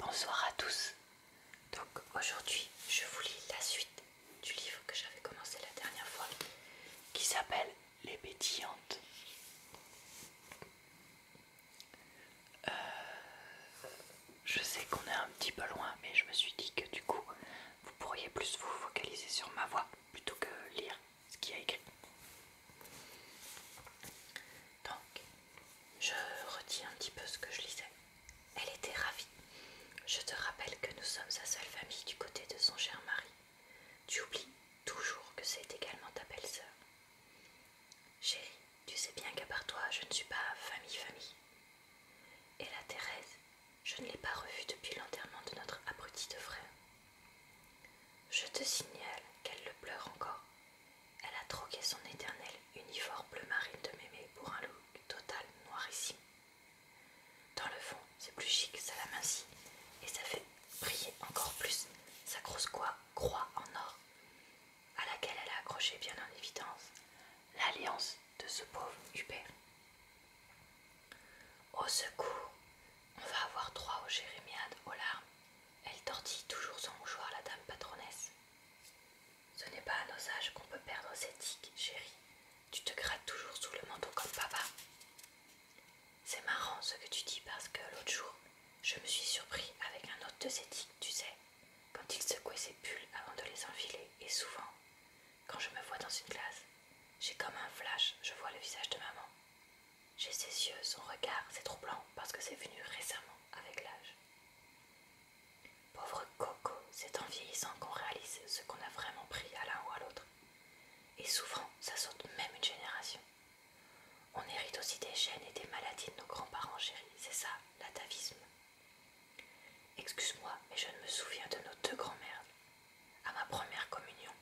Bonsoir à tous. Donc aujourd'hui, je vous lis la suite du livre que j'avais commencé la dernière fois qui s'appelle Les Bétillantes. Euh, je sais qu'on est un petit peu loin, mais je me suis dit que du coup, vous pourriez plus vous focaliser sur ma voix plutôt que lire ce qu'il y a écrit. Donc, je retiens un petit peu ce que je lisais. Elle était ravie. Je te rappelle que nous sommes sa seule famille du côté de son cher mari. Tu oublies toujours que c'est également ta belle-sœur. Chérie, tu sais bien qu'à part toi, je ne suis pas famille-famille. Et la Thérèse, je ne l'ai pas revue depuis l'enterrement de notre abruti de frère. Je te signale qu'elle le pleure encore elle a troqué son éternel uniforme bleu marine de mémé pour un look total noirissime. Dans le fond, c'est plus chic, ça l'amincit et ça fait briller encore plus sa grosse croix, croix en or, à laquelle elle a accroché bien en évidence l'alliance de ce pauvre Hubert. Au secours on va avoir droit au jérémiades, aux larmes. Elle tortille toujours son mouchoir, la dame patronesse. Ce n'est pas à nos âges qu'on peut perdre ses tics, chérie. Tu te grattes toujours sous le manteau comme papa. C'est marrant ce que tu dis parce que l'autre jour, je me suis surpris avec un autre de ses tics, tu sais, quand il secouait ses pulls avant de les enfiler, et souvent, quand je me vois dans une glace, j'ai comme un flash, je vois le visage de maman. J'ai ses yeux, son regard, c'est troublant parce que c'est venu récemment avec l'âge. Pauvre Coco, c'est en vieillissant qu'on réalise ce qu'on a vraiment pris à l'un ou à l'autre. Et souffrant, ça saute même une génération. On hérite aussi des gènes et des maladies de nos grands-parents chéris, c'est ça, l'atavisme. Excuse-moi, mais je ne me souviens de nos deux grands-mères. À ma première communion,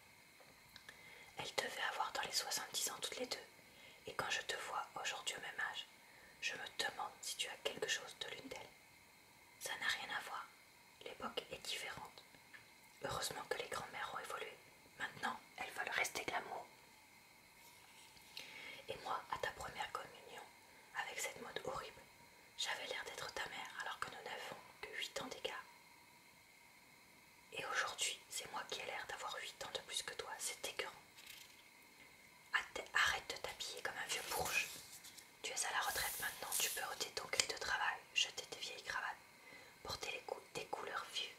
elle devait avoir dans les 70 ans toutes les deux, et quand je te vois aujourd'hui au même âge, je me demande si tu as quelque chose de l'une d'elles. Ça n'a rien à voir, l'époque est différente. Heureusement que les grands-mères ont évolué. Maintenant, elles veulent rester glamour. Et moi, à ta première communion, avec cette mode horrible, j'avais l'air d'être ta mère alors que nous n'avons que 8 ans d'écart. Et aujourd'hui, c'est moi qui ai l'air d'avoir 8 ans de plus que toi, c'est dégueulasse Arrête de t'habiller comme un vieux bourge. Tu es à la retraite maintenant, tu peux ôter ton gris de travail, jeter tes vieilles cravates, porter les des couleurs vieux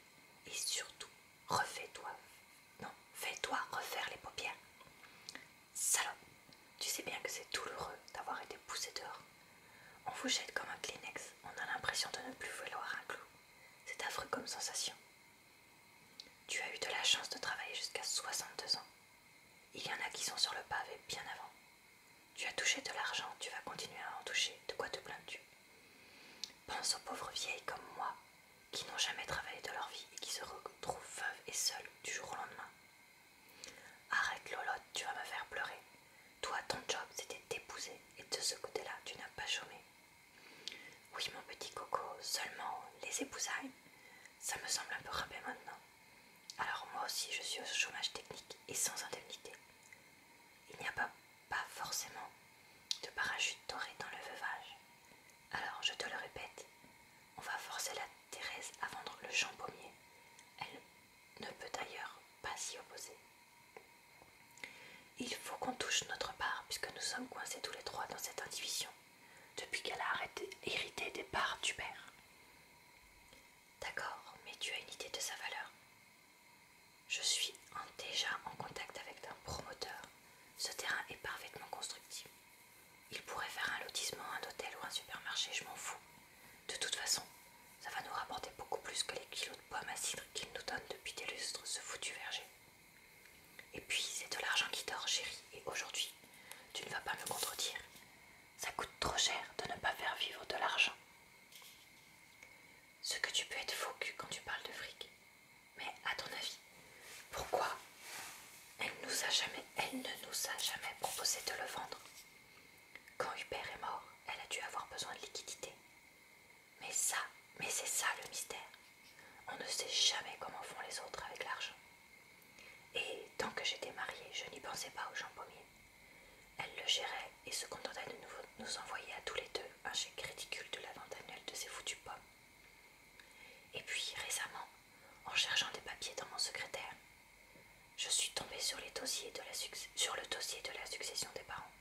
et surtout, refais-toi. Non, fais-toi refaire les paupières. Salope, tu sais bien que c'est douloureux d'avoir été poussé dehors. On vous jette comme un Kleenex, on a l'impression de ne plus vouloir un clou. C'est affreux comme sensation. Tu as eu de la chance de travailler jusqu'à 62 ans. Il y en a qui sont sur le pavé bien avant. Tu as touché de l'argent, tu vas continuer à en toucher. De quoi te plains-tu Pense aux pauvres vieilles comme moi, qui n'ont jamais travaillé de leur vie et qui se retrouvent veuves et seules du jour au lendemain. Arrête Lolotte, tu vas me faire pleurer. Toi, ton job, c'était d'épouser, et de ce côté-là, tu n'as pas chômé. Oui, mon petit coco, seulement les épousailles, ça me semble un peu râpé maintenant. Alors moi aussi, je suis au chômage technique et sans indemnité. Il n'y a pas, forcément de parachute doré dans le veuvage. Alors, je te le répète, on va forcer la Thérèse à vendre le champ pommier. Elle ne peut d'ailleurs pas s'y opposer. Il faut qu'on touche notre part puisque nous sommes coincés tous les trois dans cette indivision depuis qu'elle a arrêté, hérité des parts du père. D'accord, mais tu as une idée de sa valeur Je suis déjà en contact avec un promoteur. Ce terrain est parfaitement constructif. Il pourrait faire un lotissement, un hôtel ou un supermarché, je m'en fous. De toute façon, ça va nous rapporter beaucoup plus que les kilos de pommes à cidre qu'il nous donne depuis des lustres, ce foutu verger. Et puis, c'est de l'argent qui dort, chérie, et aujourd'hui, tu ne vas pas me contredire. Ça coûte trop cher de ne pas faire vivre de l'argent. Ce que tu peux être fou quand tu parles de fric. Mais à ton avis, pourquoi elle, ne nous a jamais proposé de le vendre. Quand Hubert est mort, elle a dû avoir besoin de liquidités. Mais ça, mais c'est ça le mystère. On ne sait jamais comment font les autres avec l'argent. Et tant que j'étais mariée, je n'y pensais pas aux gens pommiers. Elle le gérait et se contentait de nous, envoyer à tous les deux un chèque ridicule de la vente annuelle de ses foutues pommes. Et puis récemment, en cherchant des papiers dans mon secrétaire. Je suis tombée sur, le dossier de la succession des parents.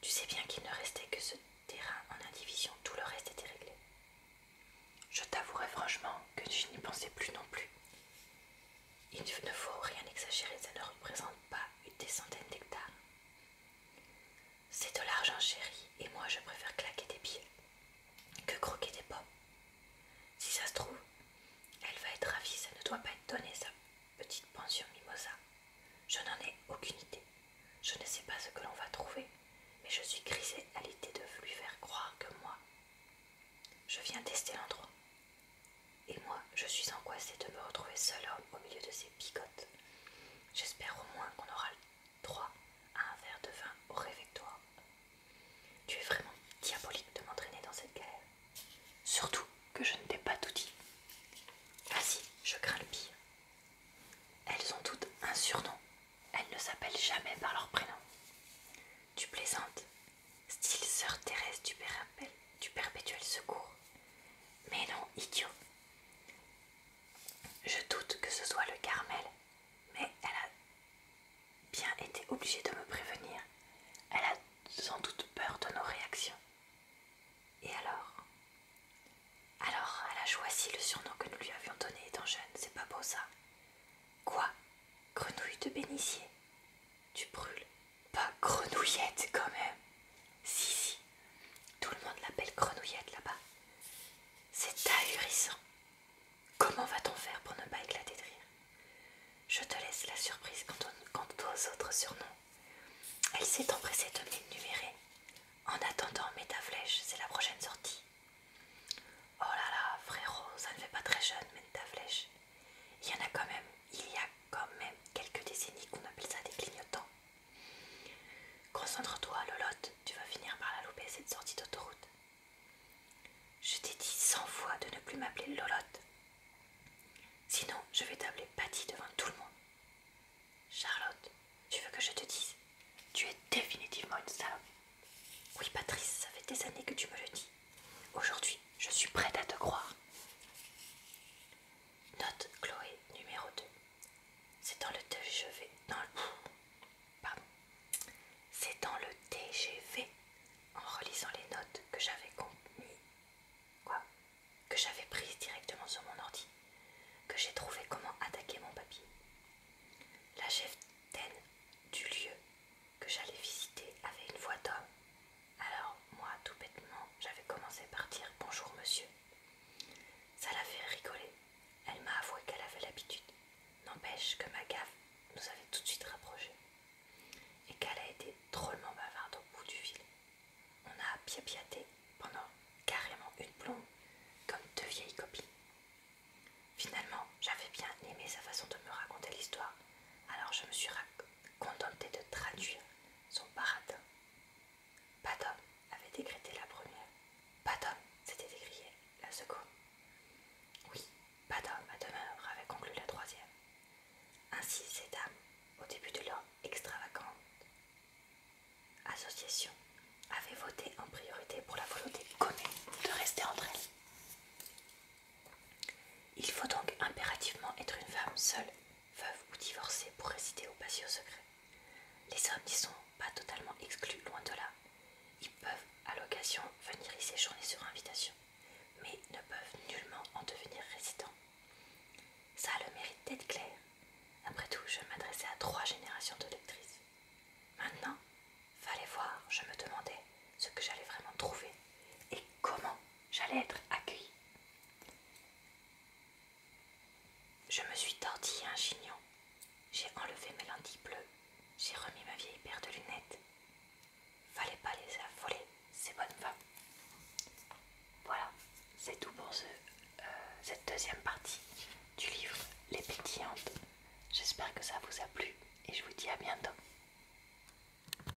Tu sais bien qu'il ne restait que ce terrain en indivision, tout le reste était réglé. Je t'avouerai franchement que je n'y pensais plus non plus. Il ne faut rien exagérer, ça ne représente pas une des centaines d'hectares. C'est de l'argent chéri, et moi je préfère claquer des pieds que croquer des pommes. Si ça se trouve, elle va être ravie, ça ne doit pas être donné sa petite pension mimosa. Je n'en ai aucune idée. Je ne sais pas ce que l'on va trouver, mais je suis grisée à l'idée de lui faire croire que moi, je viens tester l'endroit. Et moi, je suis angoissée de me retrouver seule au milieu de ces bigotes. J'espère au moins qu'on aura le 3. Un verre de vin au réfectoire. Tu es vraiment diabolique de m'entraîner dans cette galère. Surtout que je ne t'ai pas tout dit. Vas-y, je crains le pire. Elles ont toutes un surnom. Elles ne s'appellent jamais par leur prénom. Tu plaisantes, style sœur Thérèse du, du perpétuel secours. Mais non, idiot. Je doute que ce soit le Carmel, mais elle a bien été obligée de me prévenir. Elle a sans doute peur de nos réactions. Et alors Alors, elle a choisi le surnom que nous lui avions donné étant jeune, c'est pas beau ça Quoi Grenouille de bénitier Tu brûles Pas grenouillette quand même Si, si, tout le monde l'appelle grenouillette là-bas. C'est ahurissant. Comment va-t-on faire pour ne pas éclater de rire Je te laisse la surprise quant aux autres surnoms. Elle s'est empressée de m'énumérer. En attendant, mets ta flèche, c'est la prochaine sortie. Oh là là, frérot, ça ne fait pas très jeune, mets ta flèche. Il y en a quand même, il y a quand même quelques décennies qu'on appelle ça des clignotants. Concentre-toi, Lolotte, tu vas finir par la louper cette sortie d'autoroute. Je t'ai dit cent fois de ne plus m'appeler Lolotte. Sinon, je vais t'appeler Patty devant tout le monde. Charlotte, tu veux que je te dise Tu es définitivement une salope. Oui, Patrice, ça fait des années que tu me le dis. Aujourd'hui, je suis prête à te croire. Note Chloé numéro 2. C'est dans le TGV. C'est dans le TGV, en relisant les notes que j'avais Quoi Que j'avais prises directement sur mon ordi. Que j'ai trouvé comment attaquer mon papier. La chef du lieu que j'allais visiter avait une voix d'homme. Alors, moi, tout bêtement, j'avais commencé par dire Bonjour, monsieur. Ça l'a fait rigoler. Elle m'a avoué qu'elle avait l'habitude. N'empêche que ma gaffe nous avait tout de suite rapprochés. Et qu'elle a été drôlement bavarde au bout du fil. On a piapiaté pendant carrément une plombe, comme deux vieilles copies Finalement, j'avais bien aimé sa façon de me raconter l'histoire, alors je me suis contentée de traduire son paradin pas avait décrété la première. Pas d'homme s'était décriée la seconde. Oui, pas d'homme à demeure avait conclu la troisième. Ainsi, ces dames, au début de leur extravagante association, avaient voté en priorité pour la volonté connue de rester entre elles. Il faut donc impérativement être une femme seule veuves ou divorcer pour résider au patio secret. Les hommes n'y sont pas totalement exclus, loin de là. Ils peuvent, à l'occasion, venir y séjourner sur invitation, mais ne peuvent nullement en devenir résidents. Ça a le mérite d'être clair. Après tout, je m'adressais à trois générations de lectrices. Maintenant, fallait voir, je me demandais ce que j'allais vraiment trouver et comment j'allais être accueillie. Je me suis tortillé un chignon, j'ai enlevé mes lentilles bleues, j'ai remis ma vieille paire de lunettes. Fallait pas les affoler, ces bonnes femmes. Voilà, c'est tout pour euh, cette deuxième partie du livre Les Pétillantes. J'espère que ça vous a plu et je vous dis à bientôt.